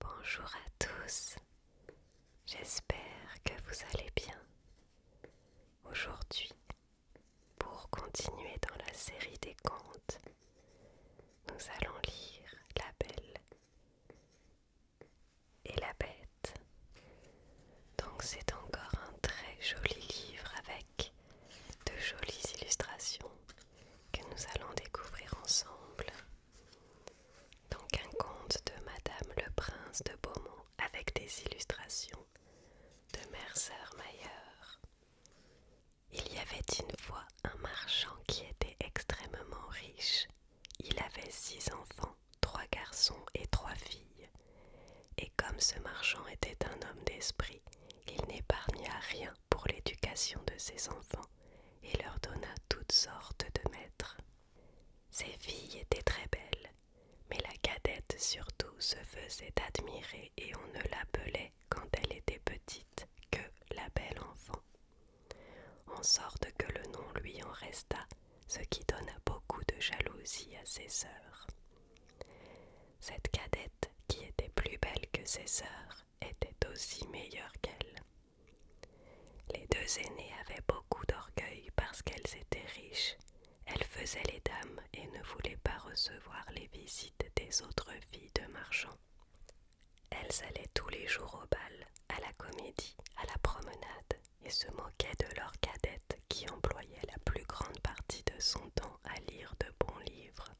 Bonjour à tous, j'espère que vous allez bien. Aujourd'hui, pour continuer dans la série des contes, nous allons lire La Belle et la Bête. Donc c'est encore un très joli livre avec de jolies illustrations que nous allons découvrir ensemble. Donc un conte de Madame le Prince de Beaumont avec des illustrations de Sœur Mayer. Il y avait une fois un marchand qui était extrêmement riche. Il avait six enfants, trois garçons et trois filles. Et comme ce marchand était un homme d'esprit, il n'épargna rien pour l'éducation de ses enfants et leur donna toutes sortes de maîtres. Ses filles étaient très belles, mais la cadette surtout se faisait admirer et on ne l'appelait quand elle était petite que la belle enfant. En sorte que le nom lui en resta, ce qui donna beaucoup de jalousie à ses sœurs. Cette cadette, qui était plus belle que ses sœurs, était aussi meilleure qu'elle. Les deux aînées avaient beaucoup d'orgueil parce qu'elles étaient riches. Elles faisaient les dames et ne voulaient pas recevoir les visites des autres filles de marchands. Elles allaient tous les jours au bal, à la comédie, à la promenade, et se moquaient de leur cadette qui employait la plus grande partie de son temps à lire de bons livres.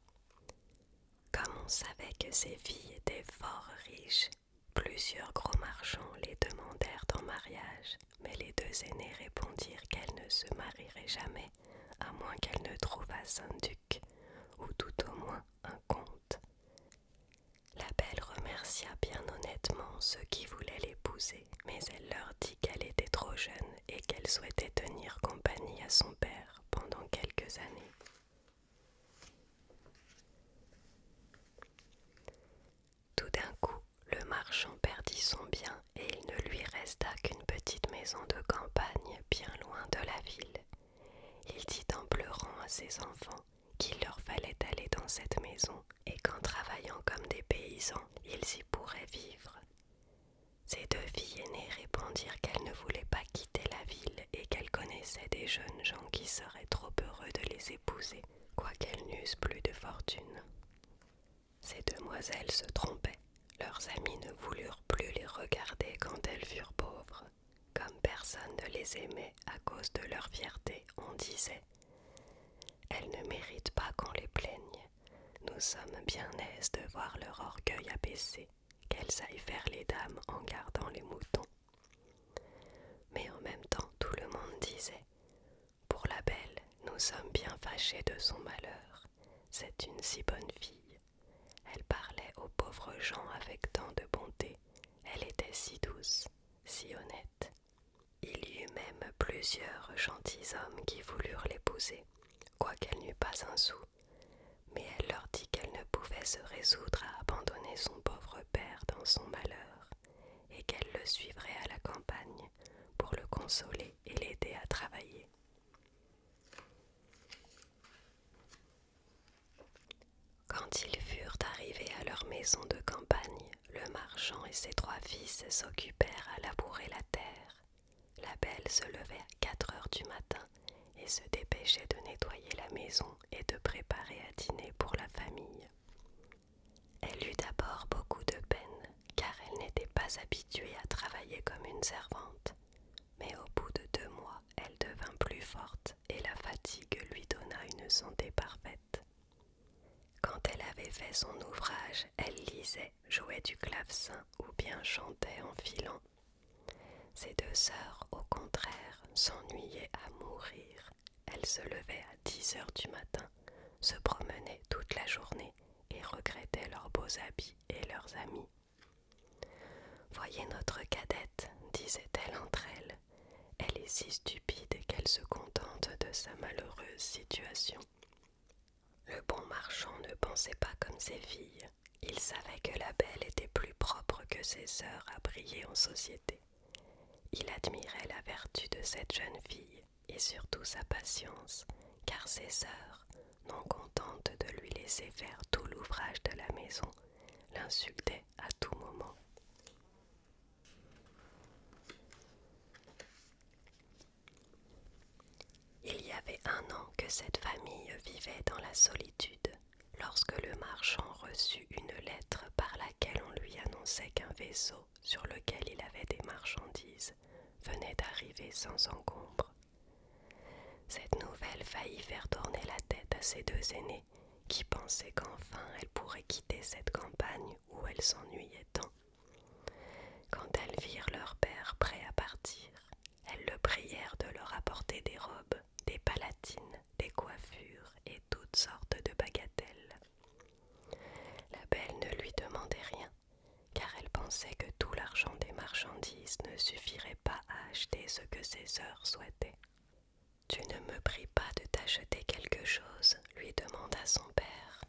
Comme on savait que ces filles étaient fort riches, plusieurs gros marchands les demandèrent en mariage, mais les deux aînés répondirent qu'elles ne se marieraient jamais, à moins qu'elles ne trouvassent un duc, ou tout au moins un comte. La belle remercia bien honnêtement ceux qui voulaient l'épouser, mais elle leur dit qu'elle était trop jeune et qu'elle souhaitait tenir compagnie à son père pendant quelques années. Tout d'un coup, le marchand perdit son bien et il ne lui resta qu'une petite maison de campagne bien loin de la ville. Il dit en pleurant à ses enfants qu'il leur fallait aller dans cette maison et qu'en travaillant comme des paysans, ils y pourraient vivre. Ses deux filles aînées répondirent qu'elles ne voulaient pas quitter la ville et qu'elles connaissaient des jeunes gens qui seraient trop heureux de les épouser, quoiqu'elles n'eussent plus de fortune. Ces demoiselles se trompaient, leurs amis ne voulurent plus les regarder quand elles furent pauvres. Comme personne ne les aimait à cause de leur fierté, on disait Elles ne méritent pas qu'on les plaigne. Nous sommes bien aises de voir leur orgueil abaissé qu'elles aillent faire les dames en gardant les moutons. Mais en même temps, tout le monde disait Pour la belle, nous sommes bien fâchés de son malheur. C'est une si bonne fille. Elle parlait aux pauvres gens avec tant de bonté. Elle était si douce, si honnête. Il y eut même plusieurs gentilshommes qui voulurent l'épouser, quoiqu'elle n'eût pas un sou, mais elle leur dit qu'elle ne pouvait se résoudre à abandonner son pauvre père dans son malheur, et qu'elle le suivrait à la campagne pour le consoler et l'aider à travailler. Quand ils furent arrivés à leur maison de campagne, le marchand et ses trois fils s'occupèrent à labourer la terre. La belle se levait à quatre heures du matin et se dépêchait de nettoyer la maison et de préparer à dîner pour la famille. Elle eut d'abord beaucoup de peine, car elle n'était pas habituée à travailler comme une servante. Mais au bout de deux mois, elle devint plus forte et la fatigue lui donna une santé parfaite. Quand elle avait fait son ouvrage, elle lisait, jouait du clavecin ou bien chantait en filant, ces deux sœurs, au contraire, s'ennuyaient à mourir. Elles se levaient à dix heures du matin, se promenaient toute la journée et regrettaient leurs beaux habits et leurs amis. Voyez notre cadette, disait-elle entre elles. Elle est si stupide qu'elle se contente de sa malheureuse situation. Le bon marchand ne pensait pas comme ses filles. Il savait que la belle était plus propre que ses sœurs à briller en société. Il admirait la vertu de cette jeune fille et surtout sa patience, car ses sœurs, non contentes de lui laisser faire tout l'ouvrage de la maison, l'insultaient à tout moment. Il y avait un an que cette famille vivait dans la solitude, lorsque le marchand reçut une lettre par laquelle on lui annonçait qu'un vaisseau sur lequel il avait des marchandises venait d'arriver sans encombre. Cette nouvelle faillit faire tourner la tête à ses deux aînés, qui pensaient qu'enfin elles pourraient quitter cette campagne où elle s'ennuyait tant. Quand elles virent leur père prêt à partir, elles le prièrent de leur apporter des robes, des palatines, des coiffures et toutes sortes de bagatelles. La belle ne lui demandait rien, car elle pensait que tout l'argent des marchandises ne suffirait pas à acheter ce que ses sœurs souhaitaient. Tu ne me pries pas de t'acheter quelque chose, lui demanda son père.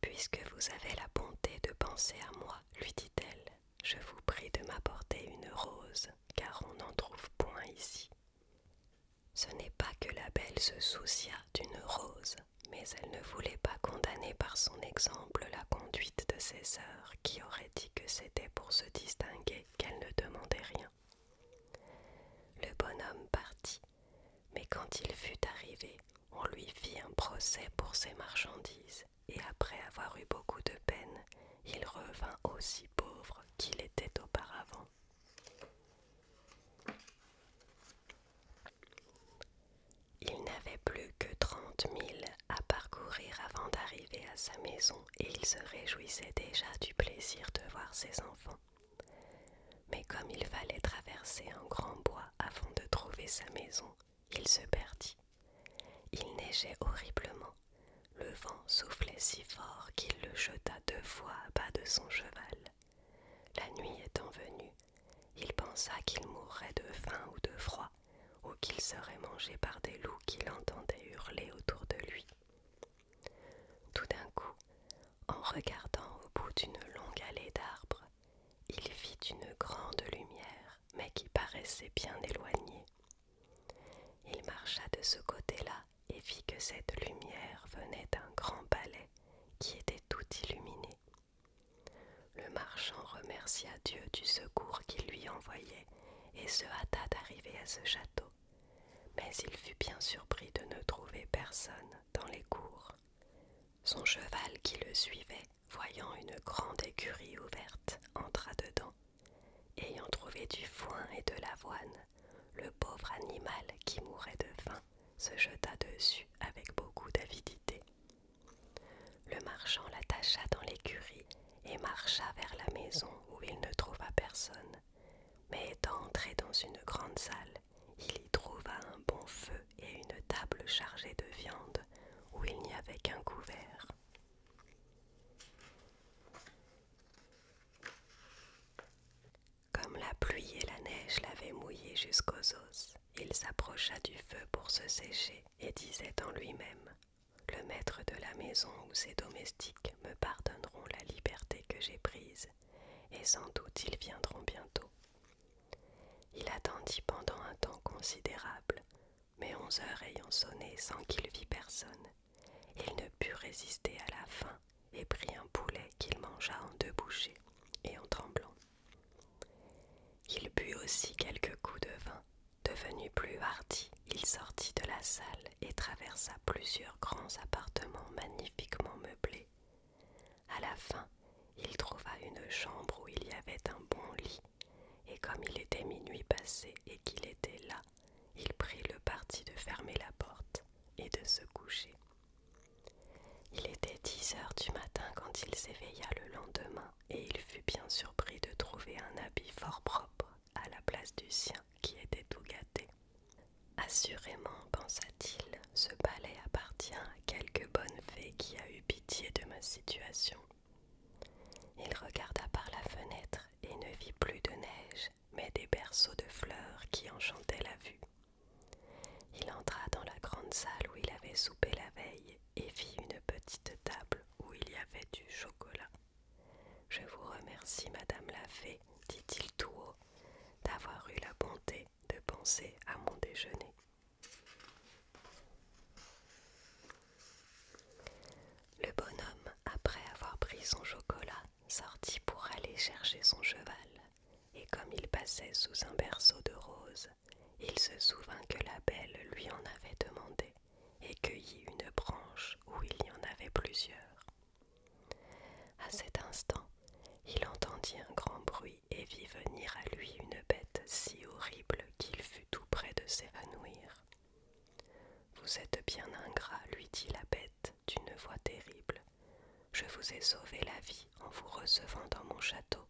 Puisque vous avez la bonté de penser à moi, lui dit-elle, je vous prie de m'apporter une rose, car on n'en trouve point ici. Ce n'est pas que la belle se soucia d'une rose, mais elle ne voulait pas condamner par son exemple la conduite de ses sœurs, qui auraient dit que c'était pour se distinguer qu'elle ne demandait rien. Le bonhomme partit, mais quand il fut arrivé, on lui fit un procès pour ses marchandises, et après avoir eu beaucoup de peine, il revint aussi pauvre qu'il était auparavant. Il n'avait plus que trente milles à parcourir avant d'arriver à sa maison et il se réjouissait déjà du plaisir de voir ses enfants. Mais comme il fallait traverser un grand bois avant de trouver sa maison, il se perdit. Il neigeait horriblement. Le vent soufflait si fort qu'il le jeta deux fois à bas de son cheval. La nuit étant venue, il pensa qu'il mourrait de faim ou de froid, ou qu'il serait mangé par des loups qu'il entendait hurler autour de lui. Tout d'un coup, en regardant au bout d'une longue allée d'arbres, il vit une grande lumière mais qui paraissait bien éloigné. Il marcha de ce côté-là et vit que cette lumière venait d'un grand palais qui était tout illuminé. Le marchand remercia Dieu du secours qu'il lui envoyait et se hâta d'arriver à ce château. Mais il fut bien surpris de ne trouver personne dans les cours. Son cheval qui le suivait voyant une grande écurie ouverte, entra dedans. Ayant trouvé du foin et de l'avoine, le pauvre animal qui mourait de faim se jeta dessus avec beaucoup d'avidité. Le marchand l'attacha dans l'écurie et marcha vers la maison où il ne trouva personne. Mais étant entré dans une grande salle, il y trouva un bon feu et une table chargée de viande où il n'y avait qu'un couvert. Comme la pluie et la neige l'avaient mouillé jusqu'aux os, il s'approcha du feu pour se sécher et disait en lui-même Le maître de la maison ou ses domestiques me pardonneront la liberté que j'ai prise, et sans doute ils viendront bientôt. Il attendit pendant un temps considérable, mais onze heures ayant sonné sans qu'il vit personne, il ne put résister à la faim et prit un poulet qu'il mangea en deux bouchées et en tremblant. Il but aussi quelques coups de vin. Devenu plus hardi, il sortit de la salle et traversa plusieurs grands appartements magnifiquement meublés. À la fin, il trouva une chambre où il y avait un bon lit, et comme il était minuit passé et qu'il était là, il prit le parti de fermer la porte et de se coucher. Il était dix heures du matin quand il s'éveilla le lendemain, et il fut bien surpris de trouver un habit fort propre à la place du sien qui était tout gâté. Assurément, pensa-t-il, ce palais appartient à quelque bonne fée qui a eu pitié de ma situation. Il regarda par la fenêtre et ne vit plus de neige, mais des berceaux de fleurs qui enchantaient la vue. Il entra dans la grande salle où il avait soupé la veille et vit une petite table où il y avait du chocolat. Je vous remercie, Madame la Fée, dit-il tout haut, d'avoir eu la bonté de penser à mon déjeuner. Le bonhomme, après avoir pris son chocolat, sortit pour aller chercher son cheval, et comme il passait sous un berceau de roses, il se souvint que la belle lui en avait demandé, et cueillit une branche où il y en avait plusieurs. À cet instant, il entendit un grand bruit et vit venir à lui une bête si horrible qu'il fut tout près de s'évanouir. Vous êtes bien ingrat, lui dit la bête d'une voix terrible. Je vous ai sauvé la vie en vous recevant dans mon château,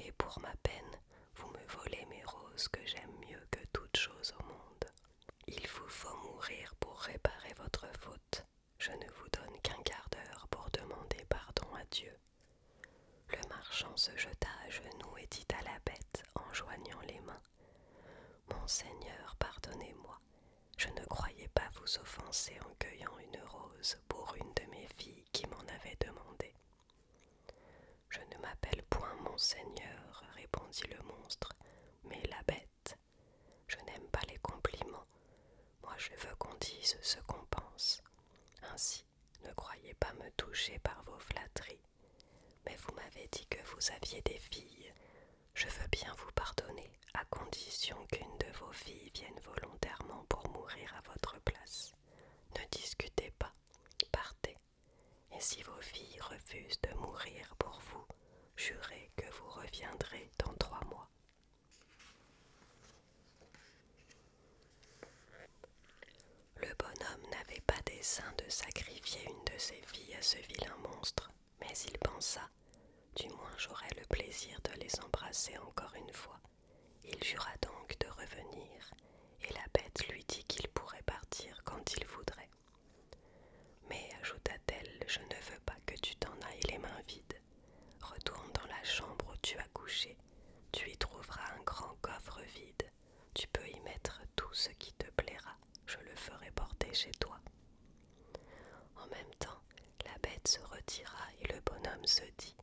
et pour ma peine, vous me volez mes roses que j'aime mieux que toutes chose au monde. Il vous faut mourir pour réparer votre faute. Je ne vous donne qu'un quart d'heure pour demander pardon à Dieu le marchand se jeta à genoux et dit à la bête en joignant les mains Monseigneur pardonnez-moi, je ne croyais pas vous offenser en cueillant une rose pour une de mes filles qui m'en avait demandé. Je ne m'appelle point Monseigneur répondit le monstre, mais la bête. Je n'aime pas les compliments. Moi, je veux qu'on dise ce qu'on pense. Ainsi, ne croyez pas me toucher par vos flatteries, mais vous m'avez dit que vous aviez des filles. Je veux bien vous pardonner, à condition qu'une de vos filles vienne volontairement pour mourir à votre place. Ne discutez pas, partez. Et si vos filles refusent de mourir pour vous, jurez que vous reviendrez dans trois mois. Le bonhomme n'avait pas dessein de sacrifier une de ses filles à ce vilain monstre, mais il pensa Du moins j'aurai le plaisir de les embrasser encore une fois. Il jura donc de revenir, et la bête lui dit qu'il pourrait partir quand il voudrait. Mais, ajouta-t-elle, je ne veux pas que tu t'en ailles les mains vides. Retourne dans la chambre où tu as couché tu y trouveras un grand coffre vide. Tu peux y mettre tout ce qui te plaira. Je le ferai porter chez toi. En même temps, la bête se retira et le bonhomme se dit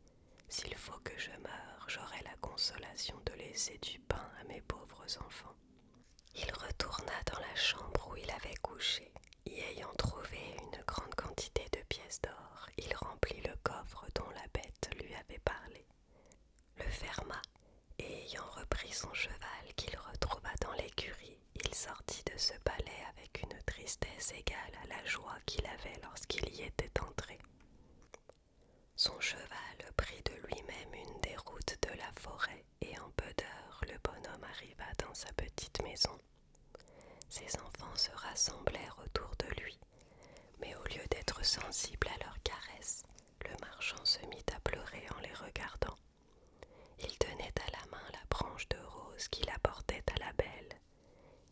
S'il faut que je meure, j'aurai la consolation de laisser du pain à mes pauvres enfants. Il retourna dans la chambre où il avait couché. Y ayant trouvé une grande quantité de pièces d'or, il remplit le coffre dont la bête lui avait parlé le ferma, et ayant repris son cheval qu'il retrouva dans l'écurie, il sortit de ce palais avec une tristesse égale à la joie qu'il avait lorsqu'il y était entré. Son cheval prit de lui-même une des routes de la forêt, et en peu d'heures le bonhomme arriva dans sa petite maison. Ses enfants se rassemblèrent autour de lui, mais au lieu d'être sensible à leurs caresses, le marchand se mit à pleurer en les regardant. Il tenait à la main la branche de rose qu'il apportait à la belle.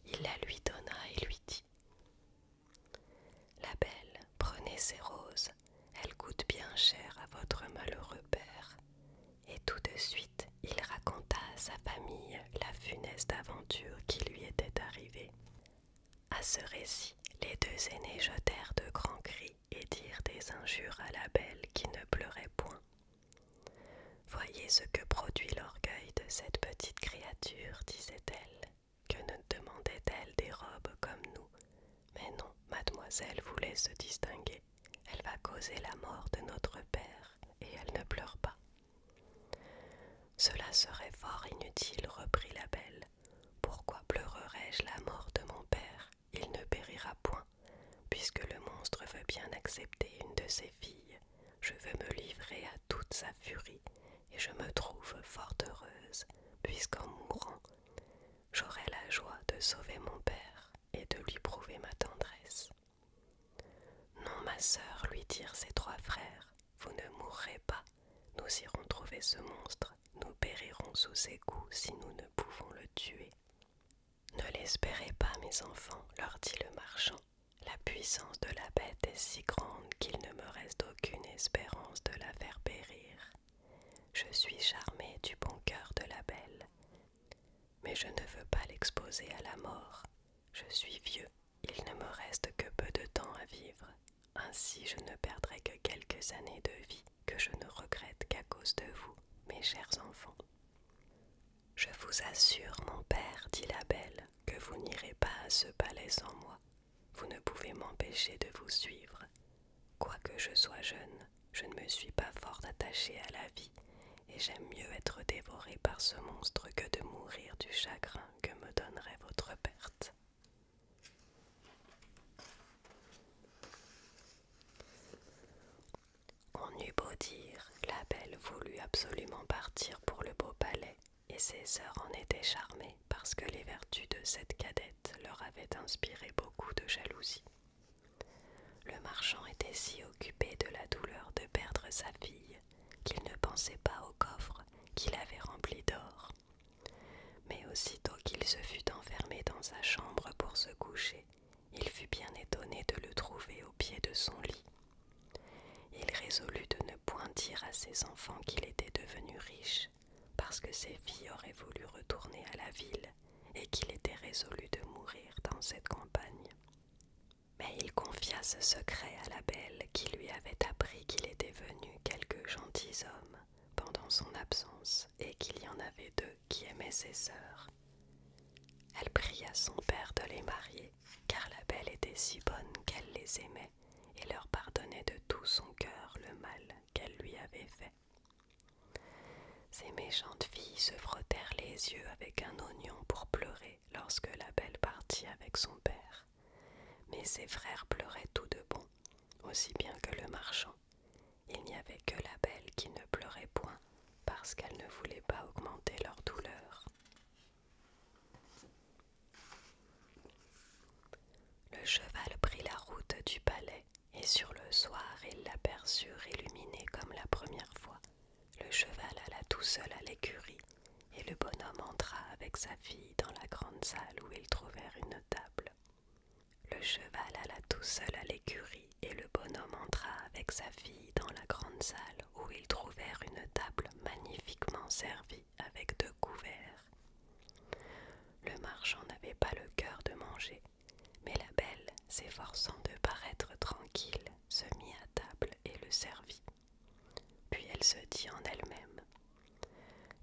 Il la lui donna et lui dit La belle, prenez ces roses, elles coûtent bien cher à votre malheureux père. Et tout de suite, il raconta à sa famille la funeste aventure qui lui était arrivée. À ce récit, les deux aînés jetèrent de grands cris et dirent des injures à la belle qui ne pleurait point. Voyez ce que produit l'orgueil de cette petite créature, disait-elle. Que ne demandait-elle des robes comme nous Mais non, mademoiselle voulait se distinguer. Elle va causer la mort de notre père, et elle ne pleure pas. Cela serait fort inutile, reprit la belle. Pourquoi pleurerai je la mort de mon père Il ne périra point, puisque le monstre veut bien accepter une de ses filles. Je veux me livrer à toute sa furie, et je me trouve fort heureuse, puisqu'en mourant, j'aurai la joie de sauver mon père et de lui prouver ma tendresse. Non, ma sœur, lui dirent ses trois frères, vous ne mourrez pas. Nous irons trouver ce monstre, nous périrons sous ses coups si nous ne pouvons le tuer. Ne l'espérez pas, mes enfants, leur dit le marchand. La puissance de la bête est si grande qu'il ne me reste aucune espérance de la faire périr. Je suis charmé du bon cœur de la belle, mais je ne veux pas l'exposer à la mort. Je suis vieux, il ne me reste que peu de temps à vivre. Ainsi je ne perdrai que quelques années de vie que je ne regrette qu'à cause de vous, mes chers enfants. Je vous assure, mon père, dit la belle, que vous n'irez pas à ce palais sans moi. Vous ne pouvez m'empêcher de vous suivre. Quoique je sois jeune, je ne me suis pas fort attachée à la vie, et j'aime mieux être dévorée par ce monstre que de mourir du chagrin que me donnerait votre perte. On eut beau dire, la belle voulut absolument partir pour le beau palais, et ses sœurs en étaient charmées parce que les vertus de cette cadette leur avaient inspiré beaucoup de jalousie. Le marchand était si occupé de la douleur de perdre sa fille qu'il ne pensait pas au coffre qu'il avait rempli d'or. Mais aussitôt qu'il se fut enfermé dans sa chambre pour se coucher, il fut bien étonné de le trouver au pied de son lit. Il résolut de ne point dire à ses enfants qu'il était devenu riche, parce que ses filles auraient voulu retourner à la ville et qu'il était résolu de mourir dans cette campagne mais il confia ce secret à la belle qui lui avait appris qu'il était venu quelques gentils hommes pendant son absence et qu'il y en avait deux qui aimaient ses sœurs. Elle pria son père de les marier, car la belle était si bonne qu'elle les aimait et leur pardonnait de tout son cœur le mal qu'elle lui avait fait. Ces méchantes filles se frottèrent les yeux avec un oignon pour pleurer lorsque la belle partit avec son père. Mais ses frères pleuraient tout de bon, aussi bien que le marchand. Il n'y avait que la belle qui ne pleurait point, parce qu'elle ne voulait pas augmenter leur douleur. Le cheval prit la route du palais, et sur le soir ils l'aperçurent illuminée comme la première fois. Le cheval alla tout seul à l'écurie, et le bonhomme entra avec sa fille dans la grande salle où ils trouvèrent une table. Le cheval alla tout seul à l'écurie, et le bonhomme entra avec sa fille dans la grande salle où ils trouvèrent une table magnifiquement servie avec deux couverts. Le marchand n'avait pas le cœur de manger, mais la belle, s'efforçant de paraître tranquille, se mit à table et le servit. Puis elle se dit en elle-même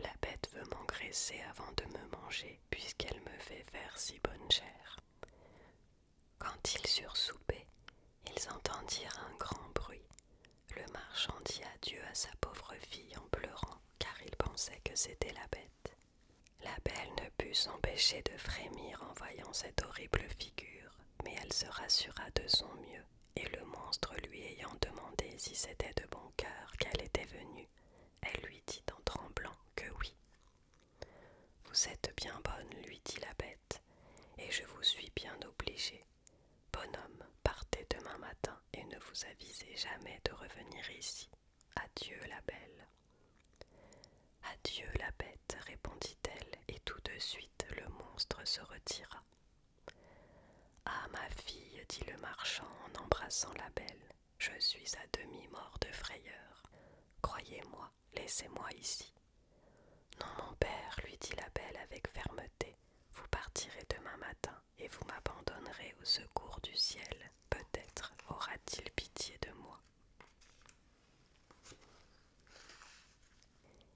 La bête veut m'engraisser avant de me manger, puisqu'elle me fait faire si bonne chair. Quand ils eurent soupé, ils entendirent un grand bruit. Le marchand dit adieu à sa pauvre fille en pleurant, car il pensait que c'était la bête. La belle ne put s'empêcher de frémir en voyant cette horrible figure, mais elle se rassura de son mieux et le monstre lui ayant demandé si c'était de bon cœur qu'elle était venue, elle lui dit en tremblant que oui. Vous êtes bien bonne, lui dit la bête, et je vous suis bien obligée. Bonhomme, partez demain matin et ne vous avisez jamais de revenir ici. Adieu la belle. Adieu la bête, répondit-elle, et tout de suite le monstre se retira. Ah ma fille, dit le marchand en embrassant la belle, je suis à demi mort de frayeur. Croyez-moi, laissez-moi ici. Non, mon père, lui dit la belle avec fermeté, vous partirez demain matin et vous m'abandonnerez au secours du ciel. Peut-être aura-t-il pitié de moi.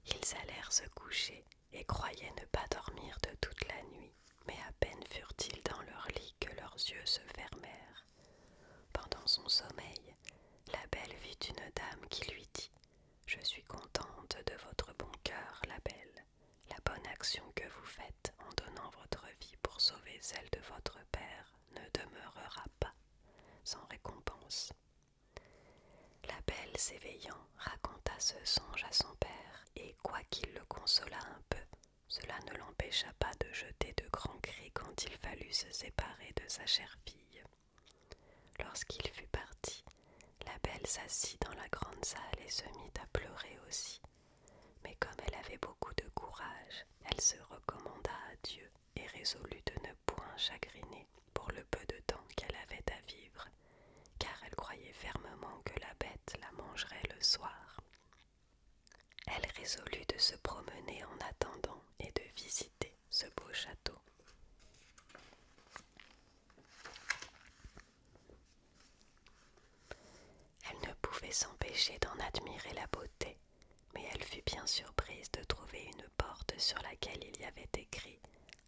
Ils allèrent se coucher et croyaient ne pas dormir de toute la nuit, mais à peine furent-ils dans leur lit que leurs yeux se fermèrent. Pendant son sommeil, la belle vit une dame qui lui dit Je suis contente de votre bon cœur, la belle, la bonne action que vous faites en donnant votre vie pour sauver celle de votre père ne demeurera pas sans récompense. La belle, s'éveillant, raconta ce songe à son père, et quoiqu'il le consolât un peu, cela ne l'empêcha pas de jeter de grands cris quand il fallut se séparer de sa chère fille. Lorsqu'il fut parti, la belle s'assit dans la grande salle et se mit à pleurer aussi. Mais comme elle avait beaucoup de courage, elle se recommanda à Dieu et résolut de ne point chagriner pour le peu de temps qu'elle avait à vivre, car elle croyait fermement que la bête la mangerait le soir. Elle résolut de se promener en attendant et de visiter ce beau château. Elle ne pouvait s'empêcher d'en admirer la beauté, mais elle fut bien surprise de trouver une porte sur laquelle il y avait écrit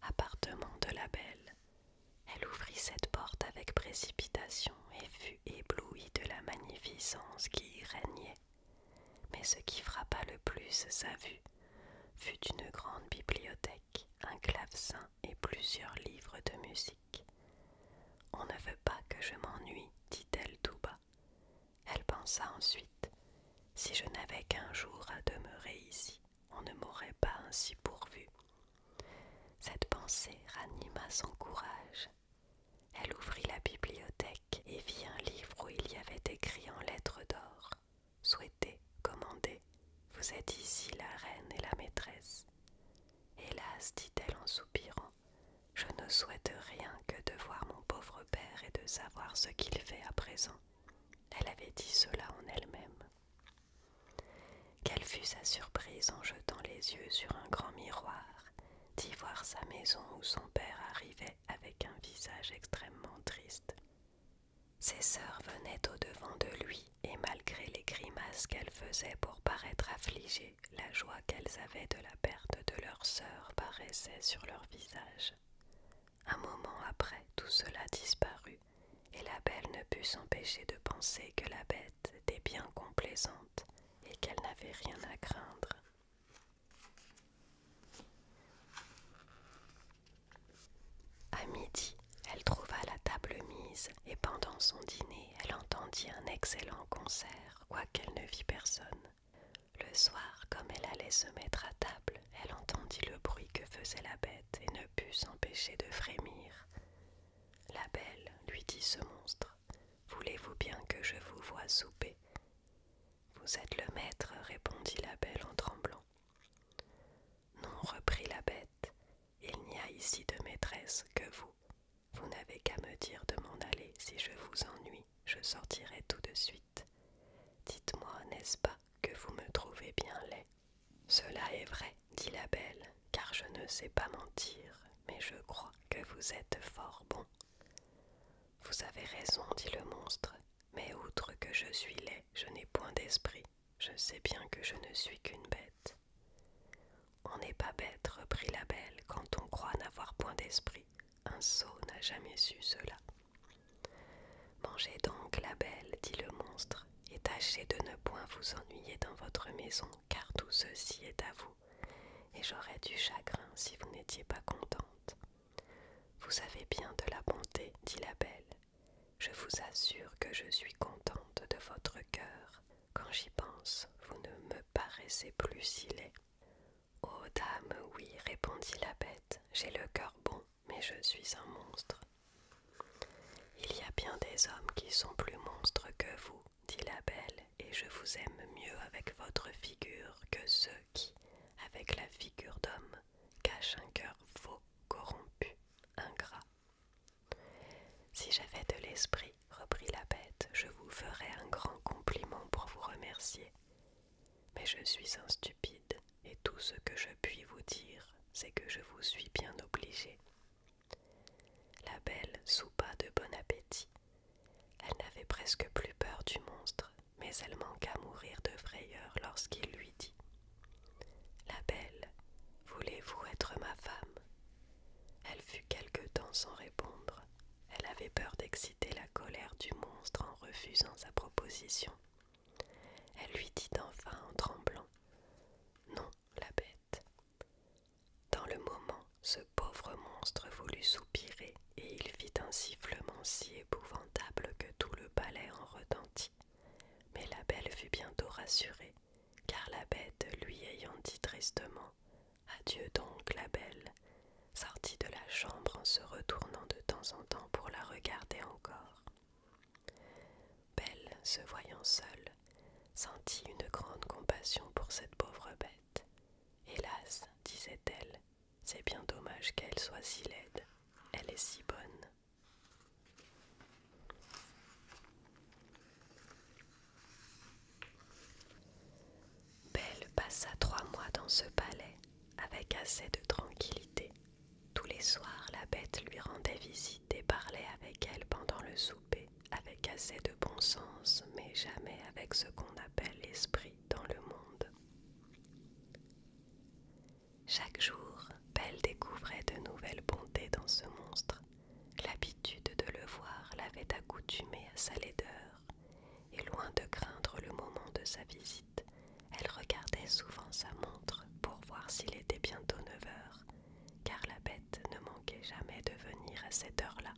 Appartement de la Belle. Elle ouvrit cette porte avec précipitation et fut éblouie de la magnificence qui y régnait. Mais ce qui frappa le plus sa vue fut une grande bibliothèque, un clavecin et plusieurs livres de musique. On ne veut pas que je m'ennuie, dit-elle tout bas. Elle pensa ensuite Si je n'avais qu'un jour à demeurer ici, on ne m'aurait pas ainsi pourvu. Cette pensée ranima son courage. Elle ouvrit la bibliothèque et vit un livre où il y avait écrit en lettres d'or Souhaitez, commandez, vous êtes ici la reine et la maîtresse. Hélas, dit-elle en soupirant, je ne souhaite rien que de voir mon pauvre père et de savoir ce qu'il fait à présent. Elle avait dit cela en elle-même. Quelle fut sa surprise en jetant les yeux sur un grand miroir d'y voir sa maison où son père arrivait avec un visage extrêmement triste. Ses sœurs venaient au-devant de lui, et malgré les grimaces qu'elles faisaient pour paraître affligées, la joie qu'elles avaient de la perte de leur sœur paraissait sur leur visage. Un moment après, tout cela disparut, et la belle ne put s'empêcher de penser que la bête était bien complaisante et qu'elle n'avait rien à craindre. À midi, elle trouva la table mise, et pendant son dîner, elle entendit un excellent concert, quoiqu'elle ne vit personne. Le soir, comme elle allait se mettre à table, elle entendit le bruit que faisait la bête et ne put s'empêcher de frémir. La belle, lui dit ce monstre, voulez-vous bien que je vous voie souper Vous êtes le maître, répondit la belle en tremblant. Non, reprit la bête, il n'y a ici de maîtresse que vous. Vous n'avez qu'à me dire de m'en aller si je vous ennuie je sortirai tout de suite. Dites-moi, n'est-ce pas, que vous me trouvez bien laid Cela est vrai, dit la belle, car je ne sais pas mentir, mais je crois que vous êtes fort bon. Vous avez raison, dit le monstre, mais outre que je suis laid, je n'ai point d'esprit. Je sais bien que je ne suis qu'une bête. On n'est pas bête, reprit la belle, quand on croit n'avoir point d'esprit. Un sot n'a jamais su cela. Mangez donc la belle, dit le monstre, et tâchez de ne point vous ennuyer dans votre maison, car tout ceci est à vous, et j'aurais du chagrin si vous n'étiez pas contente. Vous avez bien de la bonté, dit la belle. Je vous assure que je suis contente de votre cœur. Quand j'y pense, vous ne me paraissez plus si laid. Oh dame, oui, répondit la bête, j'ai le cœur bon, mais je suis un monstre. Il y a bien des hommes qui sont plus monstres que vous, dit la belle, et je vous aime mieux avec votre figure que ceux qui, avec la figure d'homme, cachent un cœur faux, corrompu, ingrat. Si j'avais de l'esprit, reprit la bête, je vous ferais un grand compliment pour vous remercier, mais je suis un stupide, et tout ce que je puis vous dire, c'est que je vous suis bien obligé. La belle soupa de bon appétit. Elle n'avait presque plus peur du monstre, mais elle manqua à mourir de frayeur lorsqu'il lui dit La belle, voulez-vous être ma femme Elle fut quelque temps sans répondre, elle avait peur d'exciter la colère du monstre en refusant sa proposition. Elle lui dit enfin en tremblant Non, la bête. Dans le moment, ce pauvre monstre voulut soupirer et il fit un sifflement si épouvantable que tout le palais en retentit. Mais la belle fut bientôt rassurée, car la bête lui ayant dit tristement Adieu donc, la belle, sortit de la chambre en se retournant de temps en temps pour la regarder encore. Belle, se voyant seule, sentit une grande compassion pour cette pauvre bête. Hélas, disait-elle, c'est bien dommage qu'elle soit si laide, elle est si bonne. Belle passa trois mois dans ce palais avec assez de tranquillité. Tous les soirs, la bête lui rendait visite et parlait avec elle pendant le souper, avec assez de bon sens, mais jamais avec ce qu'on appelle l'esprit dans le monde. Chaque jour, Belle découvrait de nouvelles bontés dans ce monstre. L'habitude de le voir l'avait accoutumée à sa laideur, et loin de craindre le moment de sa visite, elle regardait souvent sa montre pour voir s'il était bientôt 9 heures, car la bête ne manquait jamais de venir à cette heure-là.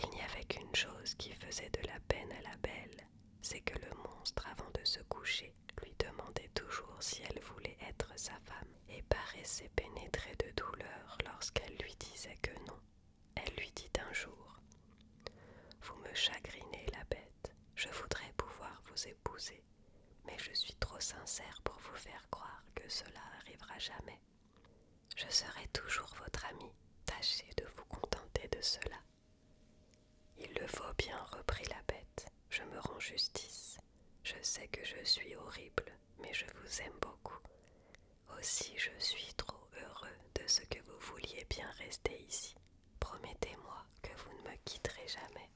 Il n'y avait qu'une chose qui faisait de la peine à la belle, c'est que le monstre, avant de se coucher, lui demandait toujours si elle voulait être sa femme et paraissait pénétrée de douleur lorsqu'elle lui disait que non. Elle lui dit un jour Vous me chagrinez, la bête, je voudrais pouvoir vous épouser, mais je suis trop sincère pour vous faire croire que cela arrivera jamais. Je serai toujours votre amie tâchez de vous contenter de cela. Il le faut bien, reprit la bête, je me rends justice. Je sais que je suis horrible, mais je vous aime beaucoup. Aussi je suis trop heureux de ce que vous vouliez bien rester ici. Promettez-moi que vous ne me quitterez jamais.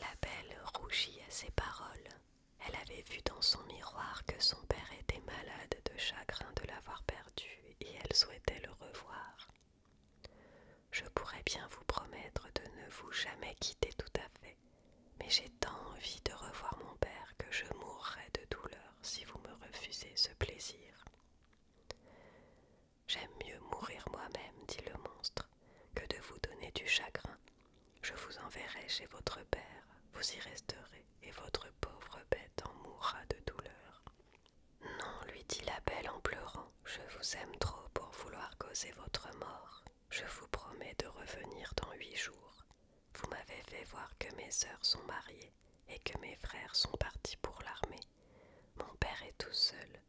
La belle rougit à ces paroles. Elle avait vu dans son miroir que son père était malade de chagrin de l'avoir perdu et elle souhaitait le revoir. Je pourrais bien vous promettre de ne vous jamais quitter tout à fait mais j'ai tant envie de revoir mon père que je mourrai de douleur si vous me refusez ce plaisir. J'aime mieux mourir moi-même, dit le monstre, que de vous donner du chagrin. Je vous enverrai chez votre père, vous y resterez, et votre pauvre bête en mourra de douleur. Non, lui dit la belle en pleurant, je vous aime trop pour vouloir causer votre mort. Je vous promets de revenir dans huit jours. Vous m'avez fait voir que mes sœurs sont mariées et que mes frères sont partis pour l'armée. Mon père est tout seul.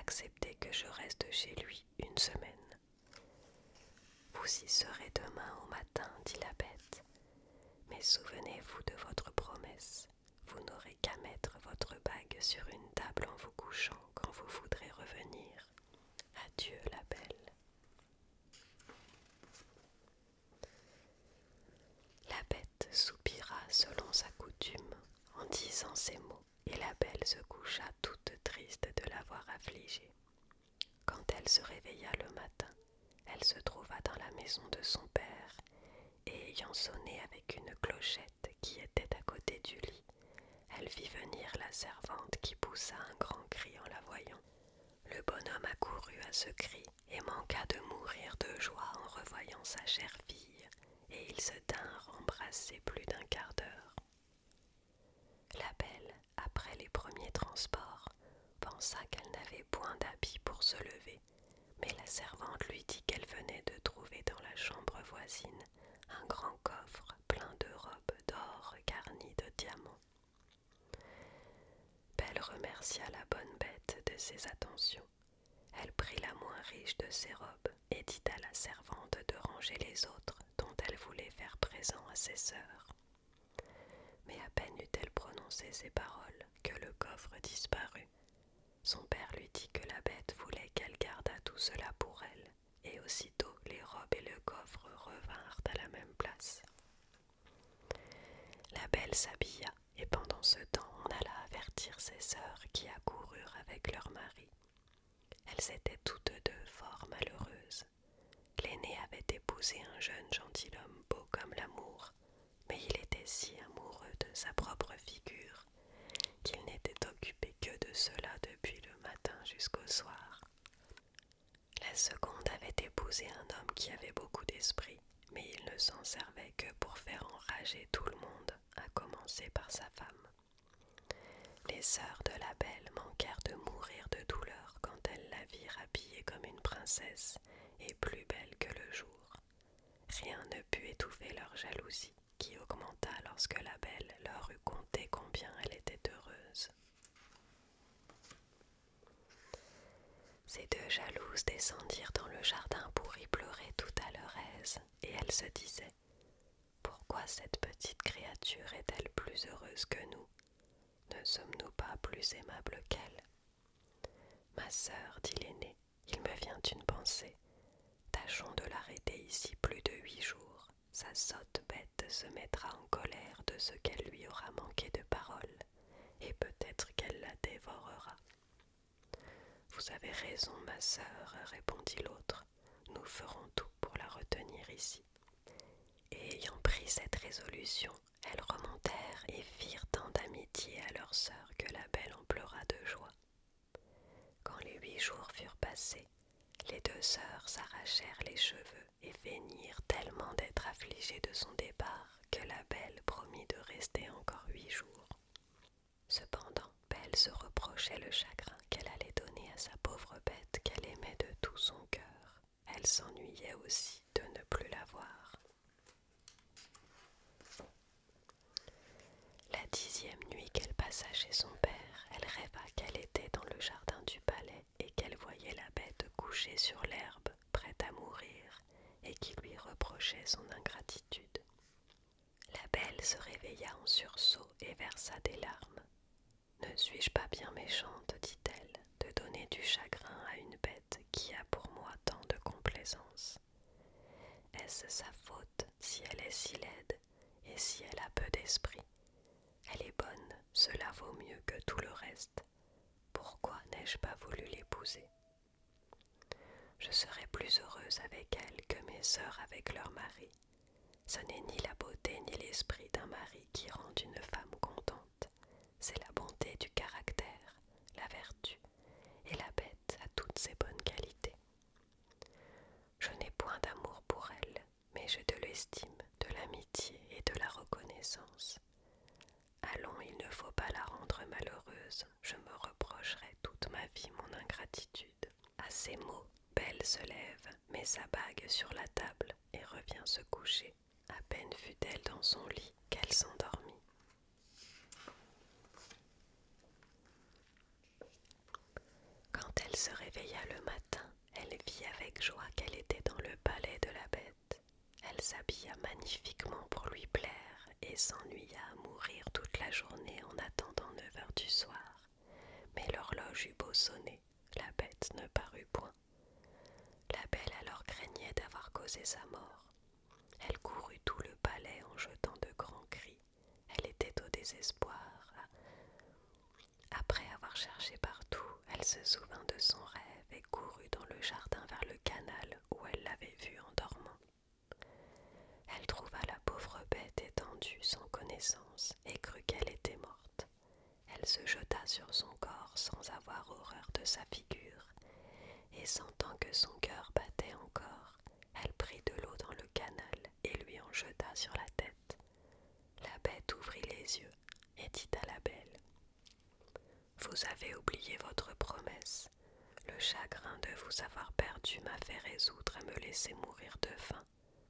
Acceptez que je reste chez lui une semaine. Vous y serez demain au matin, dit la bête. Mais souvenez-vous de votre promesse. Vous n'aurez qu'à mettre votre bague sur une table en vous couchant quand vous voudrez revenir. Adieu la belle. La bête soupira selon sa coutume en disant ces mots, et la belle se coucha toute triste de l'avoir affligée. Quand elle se réveilla le matin, elle se trouva dans la maison de son père, et ayant sonné avec une clochette qui était à côté du lit, elle vit venir la servante qui poussa un grand cri en la voyant. Le bonhomme accourut à ce cri et manqua de mourir de joie en revoyant sa chère fille, et ils se tinrent embrassés plus d'un quart d'heure. La belle, après les premiers transports, pensa qu'elle n'avait point d'habit pour se lever, mais la servante lui dit qu'elle venait de trouver dans la chambre voisine un grand coffre plein de robes d'or garnies de diamants. Belle remercia la bonne bête de ses attentions. Elle prit la moins riche de ses robes et dit à la servante de ranger les autres dont elle voulait faire présent à ses sœurs. Mais à peine eut-elle prononcé ces paroles que le coffre disparut. Son père lui dit que la bête voulait qu'elle gardât tout cela pour elle et aussitôt les robes et le coffre revinrent à la même place. La belle s'habilla, et pendant ce temps on alla avertir ses sœurs qui accoururent avec leur mari. Elles étaient toutes deux fort malheureuses. L'aînée avait épousé un jeune gentilhomme beau comme l'amour, mais il était si amoureux de sa propre figure qu'il n'était occupé que de cela depuis le matin jusqu'au soir. La seconde avait épousé un homme qui avait beaucoup d'esprit, mais il ne s'en servait que pour faire enrager tout le monde, à commencer par sa femme. Les sœurs de la belle manquèrent de mourir de douleur quand elles la virent habillée comme une princesse et plus belle que le jour. Rien ne put étouffer leur jalousie qui augmenta lorsque la belle leur eut conté combien elle était heureuse. Ces deux jalouses descendirent dans le jardin pour y pleurer tout à leur aise, et elles se disaient Pourquoi cette petite créature est-elle plus heureuse que nous Ne sommes-nous pas plus aimables qu'elle Ma sœur, dit l'aînée, il me vient une pensée. Tâchons de l'arrêter ici plus de huit jours sa sotte bête se mettra en colère de ce qu'elle lui aura manqué de parole, et peut-être qu'elle la dévorera. Vous avez raison, ma sœur, répondit l'autre, nous ferons tout pour la retenir ici. Et ayant pris cette résolution, elles remontèrent et firent tant d'amitié à leur sœur que la belle en pleura de joie. Quand les huit jours furent passés, les deux sœurs s'arrachèrent les cheveux et feignirent tellement d'être affligées de son départ que la belle promit de rester encore huit jours. Cependant, Belle se reprochait le chagrin qu'elle allait donner à sa pauvre bête qu'elle aimait de tout son cœur. Elle s'ennuyait aussi de ne plus la voir. La dixième nuit qu'elle passa chez son père, elle rêva qu'elle était dans le jardin du palais et qu'elle voyait la bête couchée sur l'herbe, prête à mourir, et qui lui reprochait son ingratitude. La belle se réveilla en sursaut et versa des larmes. Ne suis-je pas bien méchante, dit-elle, de donner du chagrin à une bête qui a pour moi tant de complaisance Est-ce sa faute si elle est si laide et si elle a peu d'esprit, elle est bonne, cela vaut mieux que tout le reste. Pourquoi n'ai-je pas voulu l'épouser Je serais plus heureuse avec elle que mes sœurs avec leur mari. Ce n'est ni la beauté ni l'esprit d'un mari qui rend une femme contente, c'est la bonté du caractère, la vertu et la bête a toutes ses bonnes qualités. Je n'ai point d'amour pour elle, mais j'ai de l'estime, de l'amitié et de la reconnaissance. Allons, il ne faut pas la rendre malheureuse, je me reprocherai toute ma vie mon ingratitude. À ces mots, Belle se lève, met sa bague sur la table et revient se coucher. À peine fut-elle dans son lit qu'elle s'endormit. Quand elle se réveilla le matin, elle vit avec joie qu'elle était dans le palais de la bête. Elle s'habilla magnifiquement pour lui plaire et s'ennuya à mourir toute la journée en attendant neuf heures du soir. Mais l'horloge eut beau sonner, la bête ne parut point. La belle alors craignait d'avoir causé sa mort. Elle courut tout le palais en jetant de grands cris elle était au désespoir. Après avoir cherché partout, elle se souvint de son rêve et courut dans le jardin vers le canal où elle l'avait vue en dormant. Elle trouva la pauvre bête étendue sans connaissance et crut qu'elle était morte. Elle se jeta sur son corps sans avoir horreur de sa figure, et sentant que son cœur battait encore, elle prit de l'eau dans le canal et lui en jeta sur la tête. La bête ouvrit les yeux et dit à la belle Vous avez oublié votre promesse. Le chagrin de vous avoir perdu m'a fait résoudre à me laisser mourir de faim,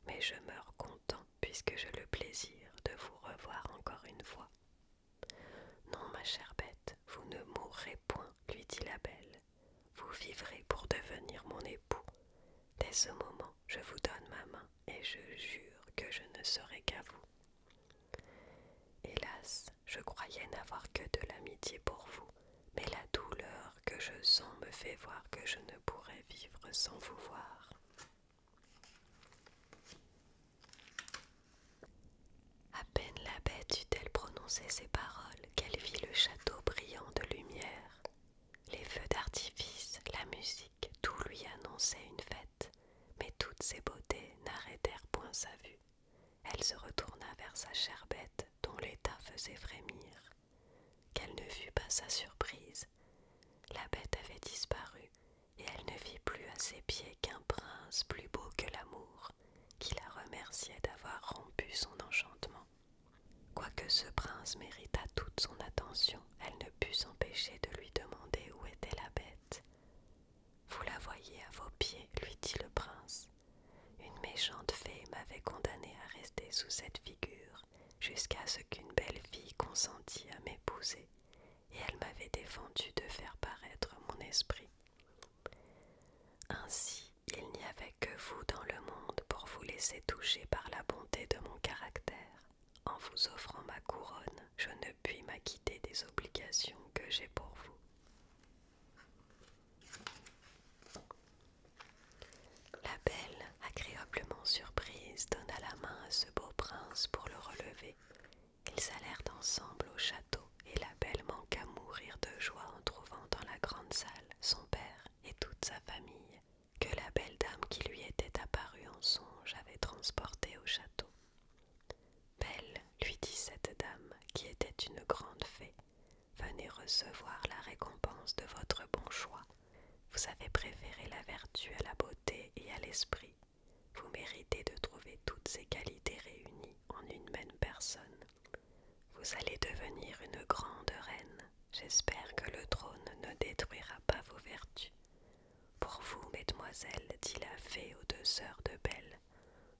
mais je meurs content puisque j'ai le plaisir de vous revoir encore une fois. Non, ma chère bête, vous ne mourrez point, lui dit la belle vous vivrez pour devenir mon époux. Dès ce moment, je vous donne ma main et je jure que je ne serai qu'à vous. Hélas, je croyais n'avoir que de l'amitié pour vous, mais la douleur que je sens me fait voir que je ne pourrais vivre sans vous voir. À peine la bête eut-elle prononcé ces paroles qu'elle vit le château brillant de lumière. Les feux d'artifice, la musique, tout lui annonçait une fête, mais toutes ces beautés n'arrêtèrent point sa vue. Elle se retourna vers sa chère bête, dont l'état faisait frémir. Quelle ne fût pas sa surprise. La bête avait disparu, et elle ne vit plus à ses pieds qu'un prince plus beau que l'amour, qui la remerciait d'avoir rompu son enchantement. Quoique ce prince méritât toute son attention, elle ne put s'empêcher de lui demander où était la bête. Vous la voyez à vos pieds, lui dit le prince. Une méchante fée m'avait condamné à rester sous cette figure jusqu'à ce qu'une belle fille consentît à m'épouser, et elle m'avait défendu de faire paraître mon esprit. Ainsi, il n'y avait que vous dans le monde pour vous laisser toucher par la bonté de mon caractère. En vous offrant ma couronne, je ne puis m'acquitter des obligations que j'ai pour vous. La belle, agréablement surprise, donna la main à ce beau prince pour le relever. Ils allèrent ensemble au château, et la belle manqua mourir de joie en trouvant dans la grande salle son père et toute sa famille, que la belle dame qui lui était apparue en songe avait transportée au château. Belle, lui dit cette dame, qui était une grande fée, venez recevoir la récompense de votre bon choix. Vous avez préféré la vertu à la beauté et à l'esprit. Vous méritez de trouver toutes ces qualités réunies en une même personne. Vous allez devenir une grande reine. J'espère que le trône ne détruira pas vos vertus. Pour vous, mesdemoiselles, dit la fée aux deux sœurs de Belle,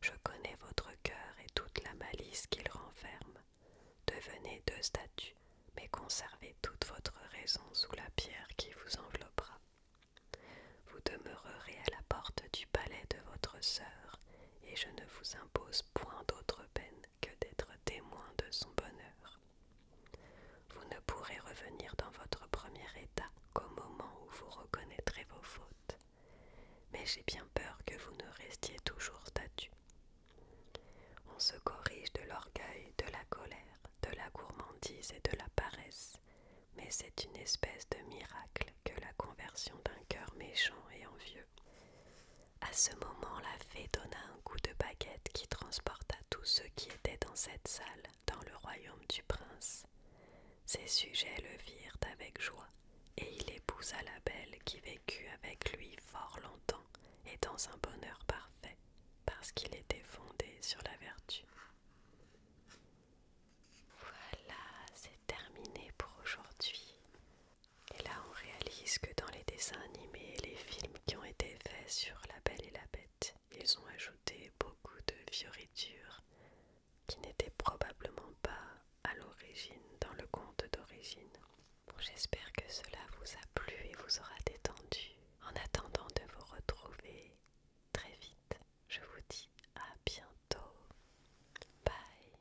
je connais votre cœur et toute la malice qu'il renferme. Devenez deux statues, mais conservez toute votre raison sous la pierre qui vous enveloppera. Vous demeurerez à la porte du palais de votre sœur, et je ne vous impose point d'autre peine que d'être témoin de son bonheur. Vous ne pourrez revenir dans votre premier état qu'au moment où vous reconnaîtrez vos fautes, mais j'ai bien peur que vous ne restiez toujours statu On se corrige de l'orgueil, de la colère, de la gourmandise et de la paresse, mais c'est une espèce de miracle que la conversion d'un cœur méchant et envieux. À ce moment, la fée donna un coup de baguette qui transporta tous ceux qui étaient dans cette salle dans le royaume du prince. Ses sujets le virent avec joie, et il épousa la belle qui vécut avec lui fort longtemps et dans un bonheur parfait, parce qu'il était fondé sur la vertu. Voilà, c'est terminé pour aujourd'hui. Et là, on réalise que dans les dessins animés et les films qui ont été faits sur La Belle et la Bête, ils ont ajouté beaucoup de fioritures qui n'étaient probablement pas à l'origine dans le conte d'origine. Bon, J'espère que cela vous a plu et vous aura détendu. En attendant de vous retrouver très vite, je vous dis à bientôt. Bye